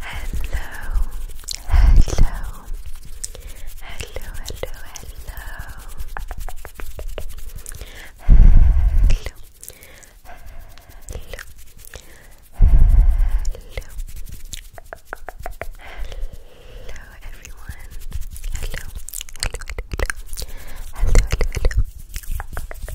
Hello, hello, hello, hello, hello, hello, hello, hello, hello, everyone, hello, hello, hello, hello, hello,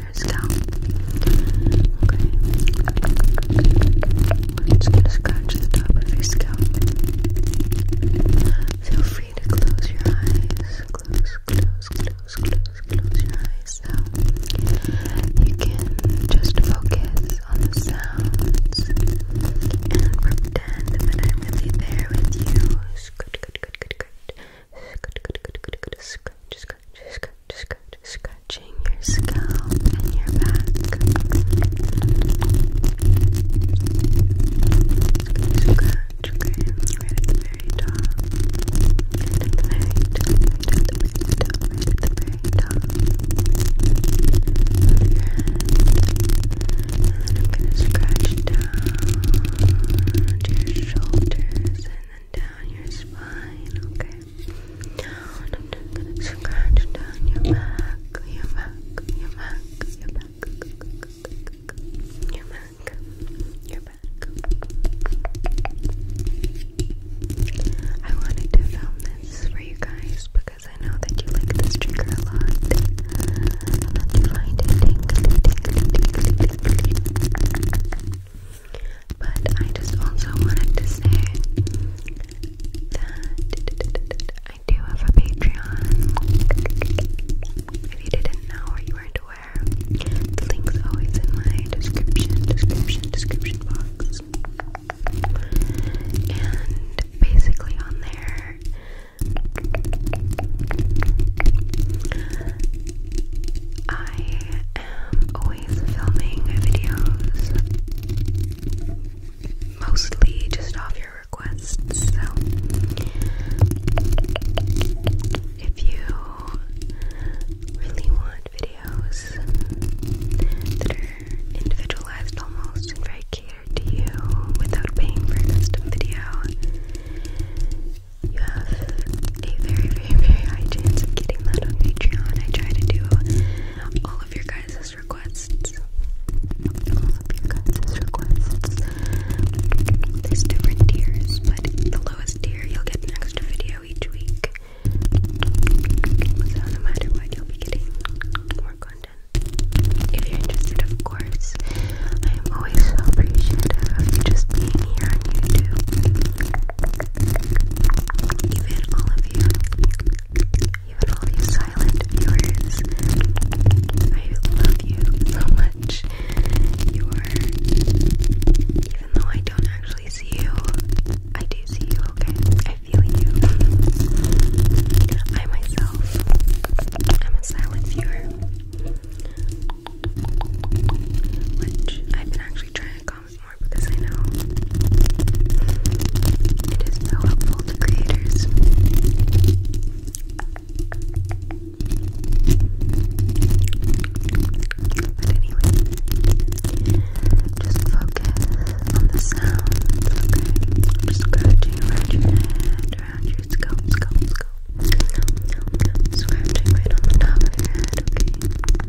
shoulders down. Okay. We're just going the top of your scalp. Feel free to close your eyes. Close, close, close, close, close your eyes. So you can just focus on the sounds and pretend that I'm really there with you. Good, good, good, good, good. Scratch, scratching your scalp and your back. Scratch, okay, very top. Right very top, very very top. And I'm gonna scratch down your shoulders and down your spine, okay? I'm just gonna scratch down your back, your back, your back, your back, your back, your back. I wanted to film this for you guys because I know that you like this trigger a lot and that you find it tingly, but I just also wanted to say that I do have a Patreon. If you didn't know or you weren't aware, the link's always in my description, description, description box. And basically on there, I am always filming videos, mostly just off your requests. So, if you really want videos that are individualized almost and very catered to you without paying for a custom video, you have a very, very, very high chance of getting that on Patreon. I try to do all of your guys' requests. All of your guys' requests. There's different tiers, but the lowest tier, you'll get an extra video each week. So no matter what, you'll be getting more content. If you're interested, of course. I am always so appreciative of you just being here on YouTube. Even all of you, even all you silent viewers, I love you so much. You are, even though I don't actually see you, I do see you, okay? I feel you. I myself, I'm a silent viewer. Which I've been actually trying because I know it is so helpful to creators. But anyway, just focus on the sound, okay? just scratching around your head, around your scalp, scalp, scalp. Scratching right on the top of your head, okay?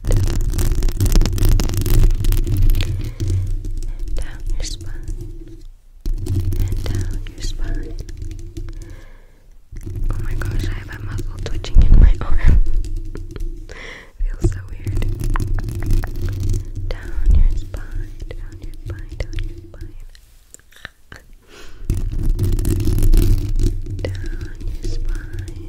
down your spine, down your spine. Oh my gosh, I have a muscle twitching in my arm. Feels so weird. Down your spine, down your spine, down your spine. Down your spine,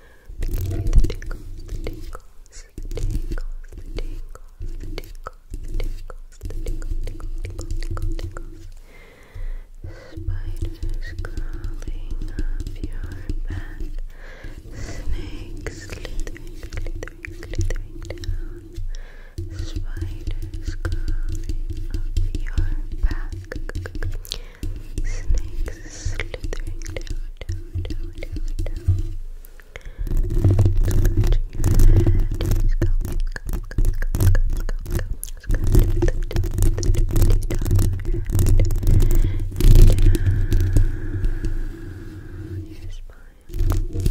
I'm giving you the tingles, the tingles, the tingles, the tingles, the tingles, the tingles, the tingles, tingles, tingles, tingles, tingles. Spiders crawling up your back. Snakes slithering, slithering, slithering down. Spiders crawling up your back. Snakes slithering down, down, down, down, down. Scratching your head. Scratching, scratching, scratching, scratching, scratching, scratching. The dirty top of your head. Down your spine. Good.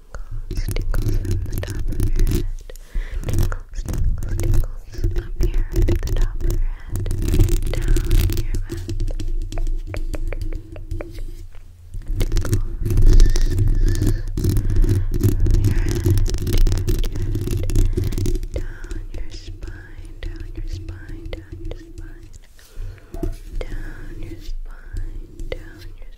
tingles, tingles from the top of your head. Tingles, tingles, tingles up here at the top of your head, down your back. Tingles from your down your spine, down your spine, down your spine. Down your spine, down your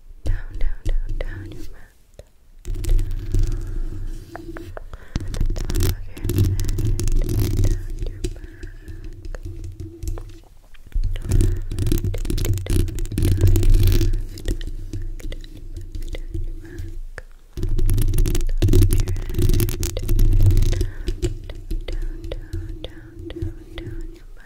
down, down, down, down your mat. Down. The top of your head, down your back. Down, down, down, down, down, down your back.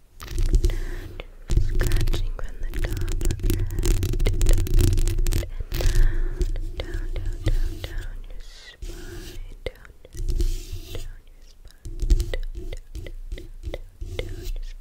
And scratching down, down, down, down, your spine, down, down, down your spine, down, down, down, down, down your spine.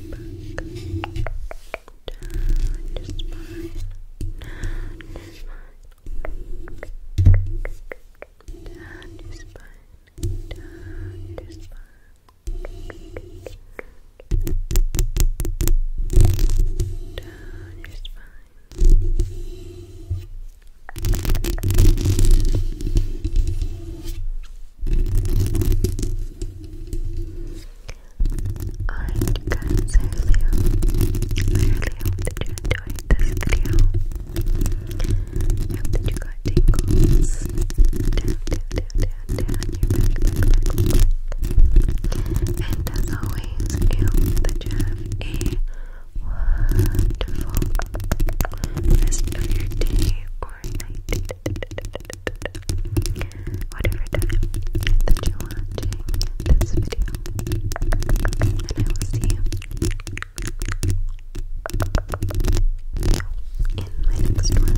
your spine, down your spine, down your spine, down your spine, down your spine. Alright you guys, I really I really hope that you enjoyed this video. I hope that you got tingles. And as always, I hope that you have a wonderful rest of your day or night whatever that you're watching this video. And I will see you in my next one.